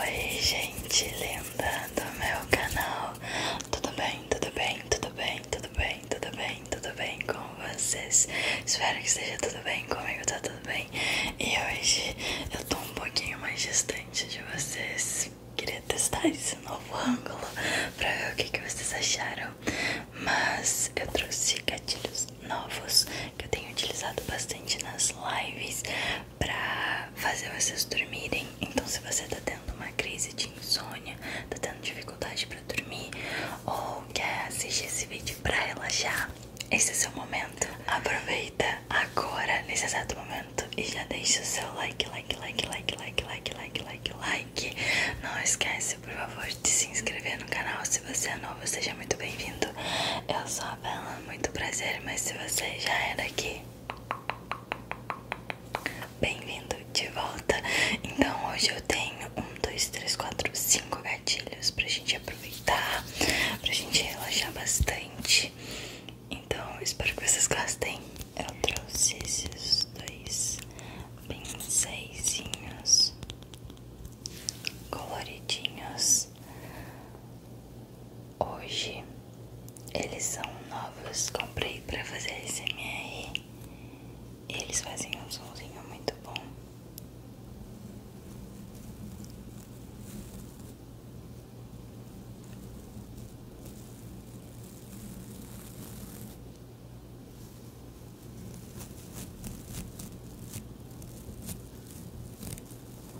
Oi gente linda do meu canal, tudo bem, tudo bem, tudo bem, tudo bem, tudo bem, tudo bem com vocês? Espero que esteja tudo bem, comigo tá tudo bem E hoje eu tô um pouquinho mais distante de vocês, queria testar esse novo ângulo pra ver o que, vocês acharam Mas eu trouxe gatilhos novos que eu tenho utilizado bastante nas lives pra fazer vocês dormirem. Então, se você tá tendo uma crise de insônia, tá tendo dificuldade pra dormir ou quer assistir esse vídeo pra relaxar, esse é seu momento. Aproveita agora, nesse exato momento, e já deixa o seu like, like, like, like, like, like, like, like, like. Não esquece, por favor, de se inscrever no canal. Se você é novo, seja muito bem-vindo. Eu sou muito prazer, mas se você já era é aqui, bem-vindo de volta. Então hoje eu tenho um, dois, três, quatro, cinco gatilhos pra gente aproveitar, pra gente relaxar bastante. Então espero que vocês gostem. Eu trouxe esses dois pincéis coloridinhos Hoje eles são novos, comprei para fazer SMR. Eles fazem um sonzinho muito bom.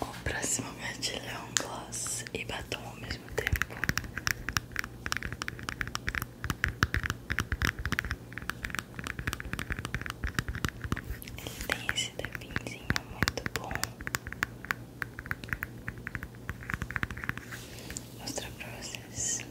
O próximo gatilho é um gloss e batom ao mesmo tempo. Ele tem esse tapinzinho muito bom mostrar pra vocês. Vou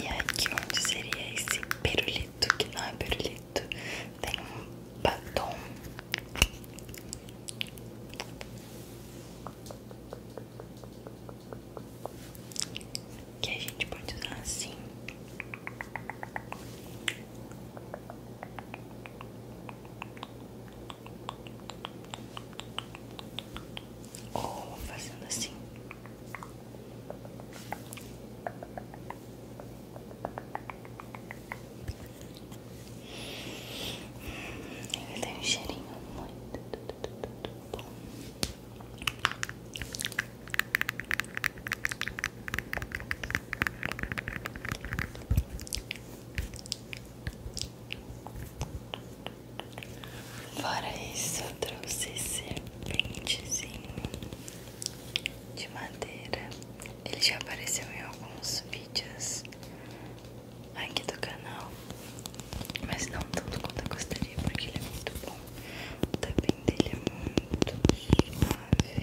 E aqui onde seria esse perolito, que não é perolito, tem um batom. Que a gente pode usar assim. Ou fazendo assim. Ele tem um cheirinho muito bom. Fora isso, eu trouxe esse pentezinho de madeira. Ele já apareceu em alguns vídeos aqui do canal, mas não tanto quanto eu gostaria, porque ele é muito bom. O tapinho dele é muito suave.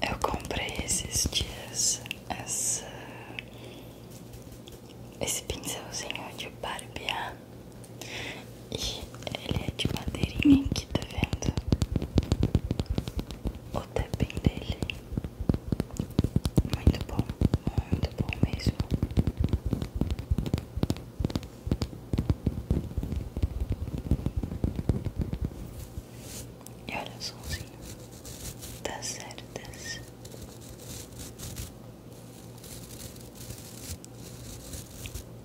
Eu comprei esses dias esse pincelzinho de barbear e ele é de madeirinha aqui, tá vendo? O tapping dele. Muito bom, muito bom mesmo. E olha o somzinho das tá cerdas. Tá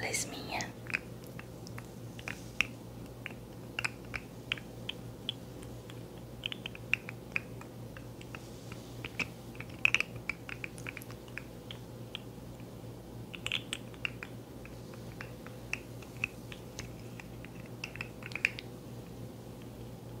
Lesminha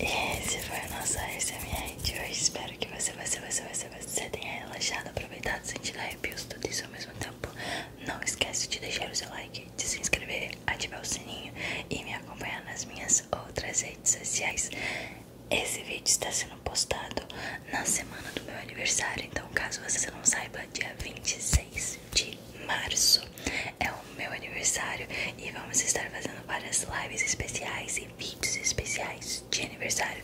Esse foi o nosso SMR de hoje. Espero que você, você, você, você, que você tenha relaxado, aproveitado, sentido arrepios, tudo isso ao mesmo tempo. Não esquece de deixar o seu like, de se inscrever, ativar o sininho e me acompanhar nas minhas outras redes sociais. Esse vídeo está sendo postado na semana do meu aniversário, então caso você não saiba, dia 26 de março é o meu aniversário e vamos estar fazendo várias lives especiais e vídeos especiais de aniversário.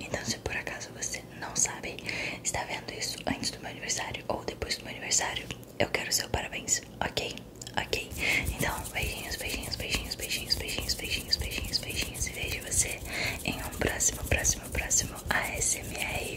Então, se por acaso você não sabe, está vendo isso antes do meu aniversário ou depois do meu aniversário, eu quero seu parabéns, ok? Ok? Então, beijinhos, beijinhos, beijinhos, beijinhos, beijinhos, beijinhos, beijinhos, beijinhos. E vejo você em um próximo, próximo, próximo ASMR.